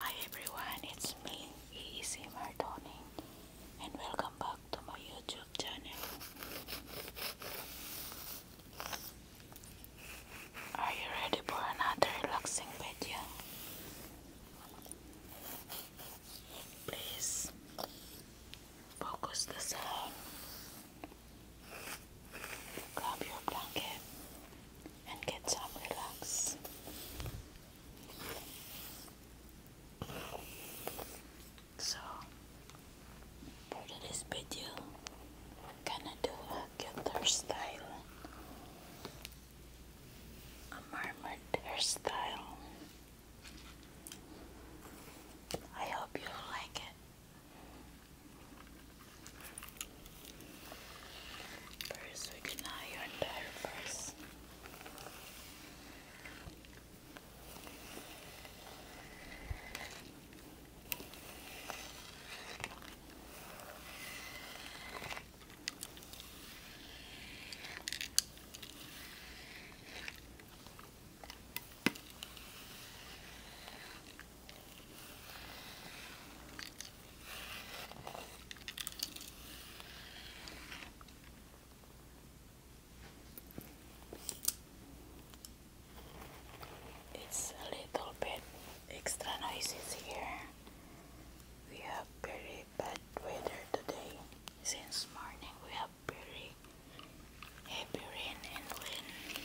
Hi everyone, it's me, EEC Martoni and welcome back to my YouTube channel. Are you ready for another relaxing video? Please focus the sound. Grab your blanket and get some relax. So, for this video, I'm gonna do a guitar style, a mermaid hairstyle. I hope you like it. First, we can eye your entire it's a little bit extra noises here. We have very bad weather today. Since morning we have very heavy rain and wind.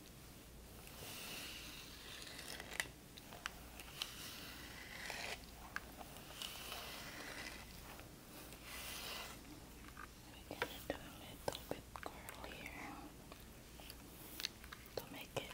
We're going to do a little bit curlier to make it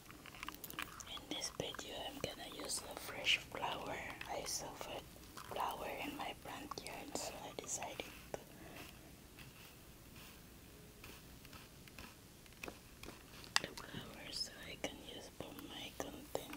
In this video, I'm gonna use a fresh flower. I suffered flower in my front yard, so I decided to the flower so I can use for my content.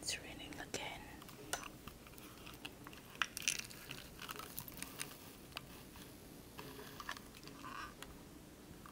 It's raining again.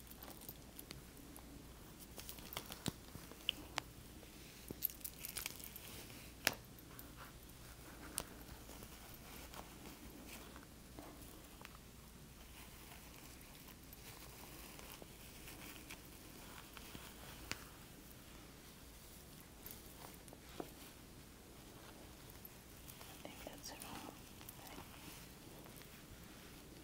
I think that's it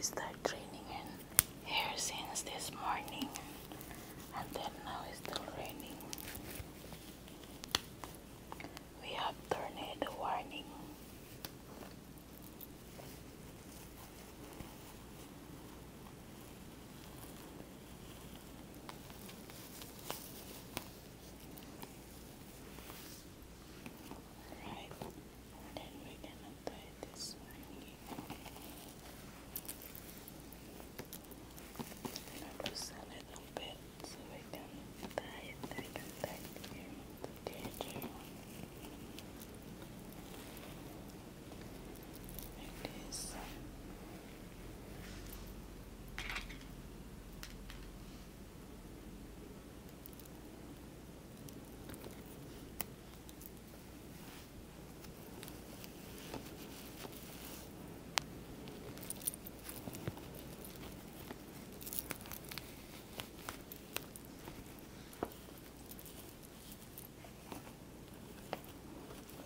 start raining in here since this morning and then now it's still raining we have tornado warning Right, then we're gonna tie this one here. I'll just a bit so we can tie it back and back together. Like this. Uh,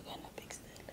we're gonna fix that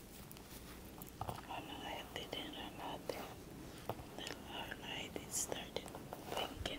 I didn't or nothing. Then our night started thinking.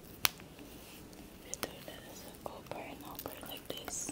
We do this over and over like this.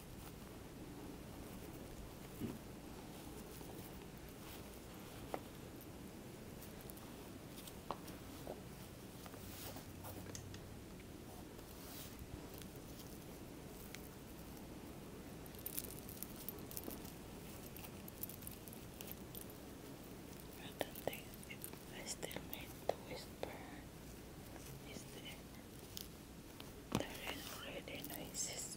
But I, I still need to whisper is there there is really noises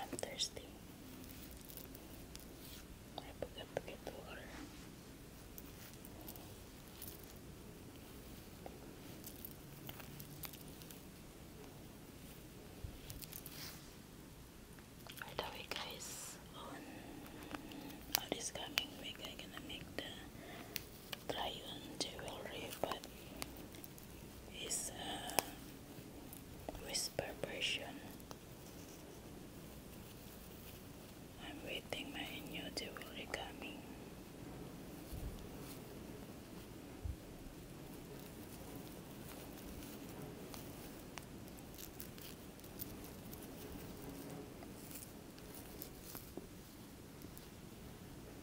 I'm thirsty. I forgot to get the water. By the way guys, on oh, this coming week i gonna make the try jewelry but it's a uh, whisper version. I'm waiting my new deal will be coming.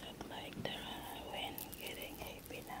Look like there are getting happy now.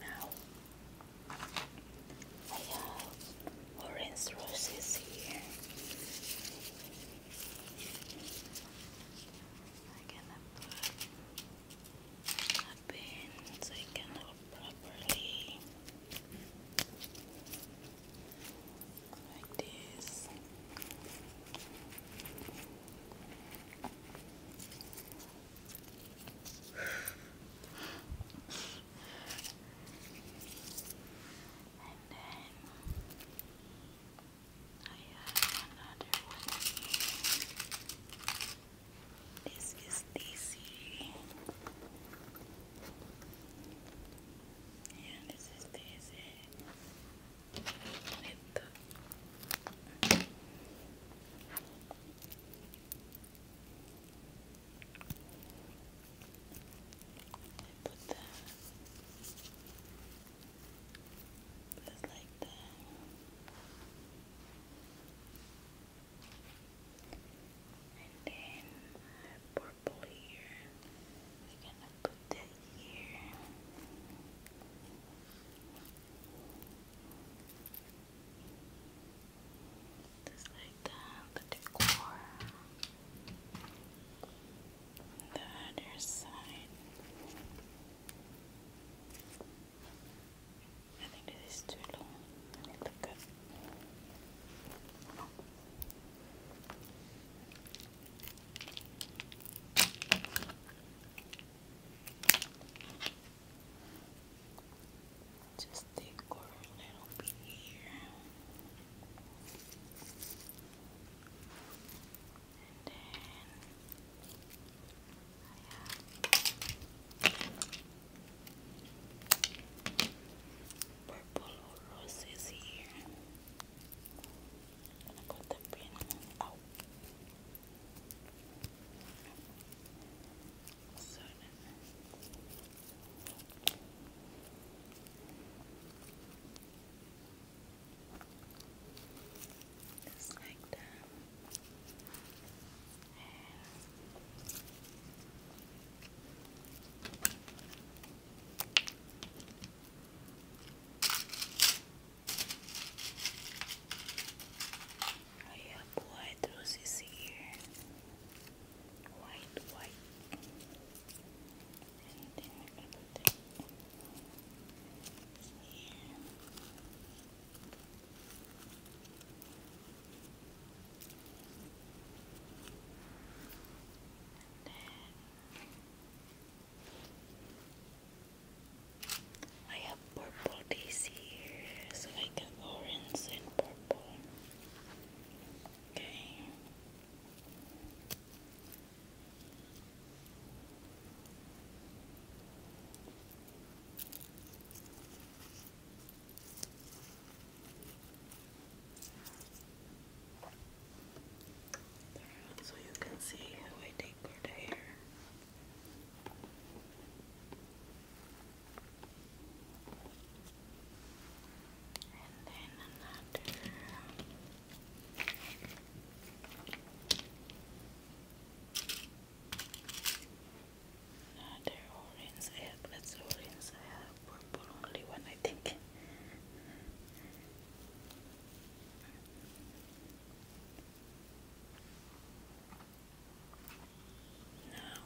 Now I have orange roses here. I cannot put my pins, I cannot properly like this. and then I have another one This is Daisy. And this is Daisy. With the put the just like that. then purple here. We're gonna put that here. Just like that, the decor. The other side. I think this is too long. Let me click it. Just decor a little bit here. And then I have purple roses here. I'm the pin out. So then. Just like I have white roses here. White, white put it I have purple daisy here, so I got orange and purple. Okay so you can see how I decored the hair. And then another Another orange I that's orange, I purple only one I think. Now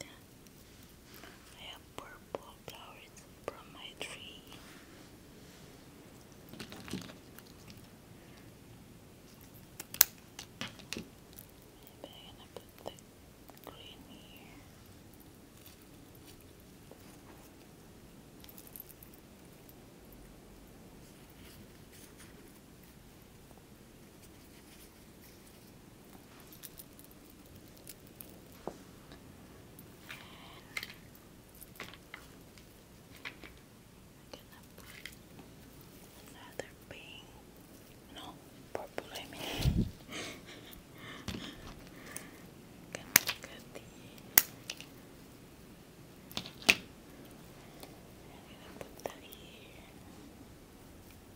I have purple flowers from my tree. Maybe I'm gonna put the green here another pink, no, purple, I mean. Can look at I'm gonna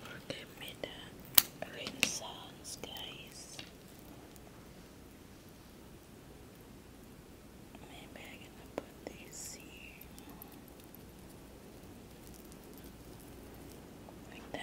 Forgive me the rain sounds, guys. I'm gonna put this here like that.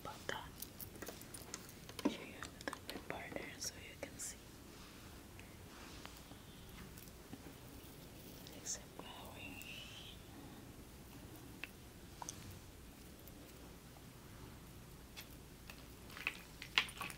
About that. Here you have the good partner so you can see. Except glowing.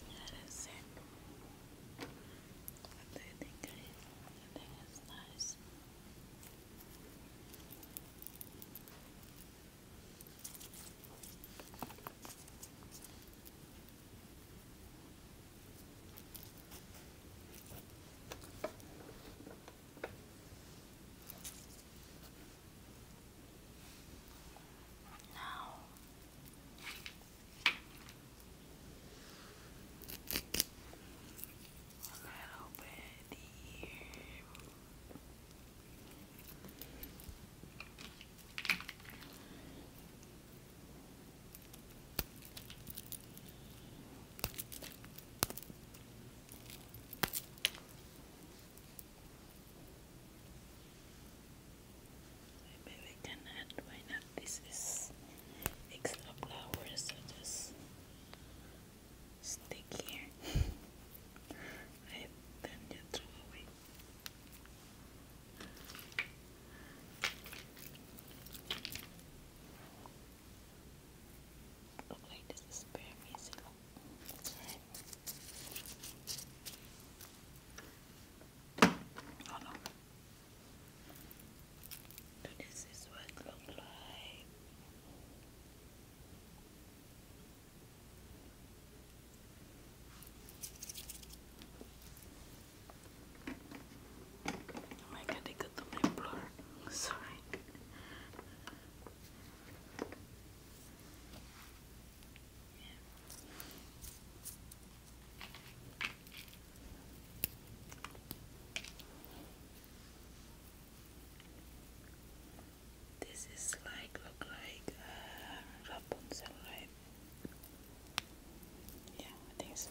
That is it. What do you think, guys? I think it's nice. Now, a little bit here. Maybe we can add why not? This is extra flowers, so just stick here. I then you throw away. Look like this is bare basil. Oh no. this is what it looks like. Oh my god, I got to my blur. Sorry. This is like look like uh, Rapunzel, right? Yeah, I think so.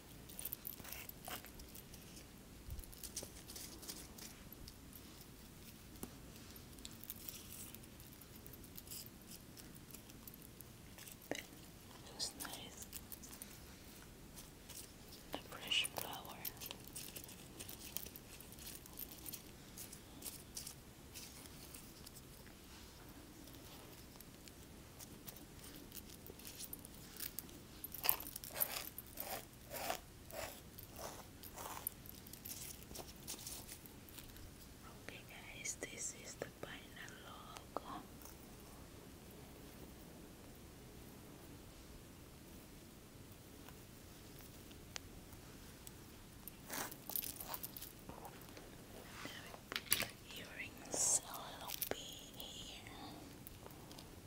It was nice. The fresh flower. Okay guys, this is the final logo. Now we earrings a little bit here.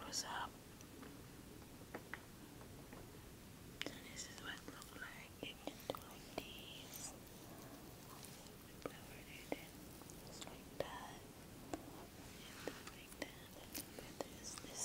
What's up? this is what it looks like. You can do like that. And that. And then this. this,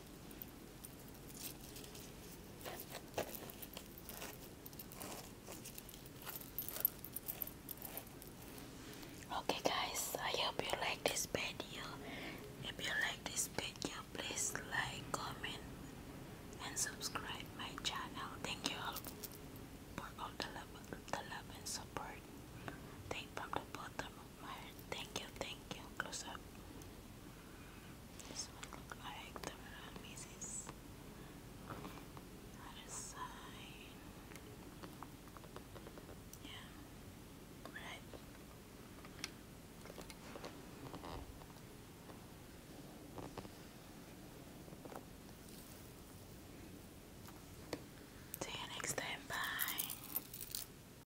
Okay guys, I hope you like this video. If you like this video, please like, comment and subscribe my channel. Thank you all for all the love, the love and support. Thank from the bottom admire. Thank you, thank you. Close up. This one looks like the real Mrs. Other side. Yeah. Right. See you next time. Bye.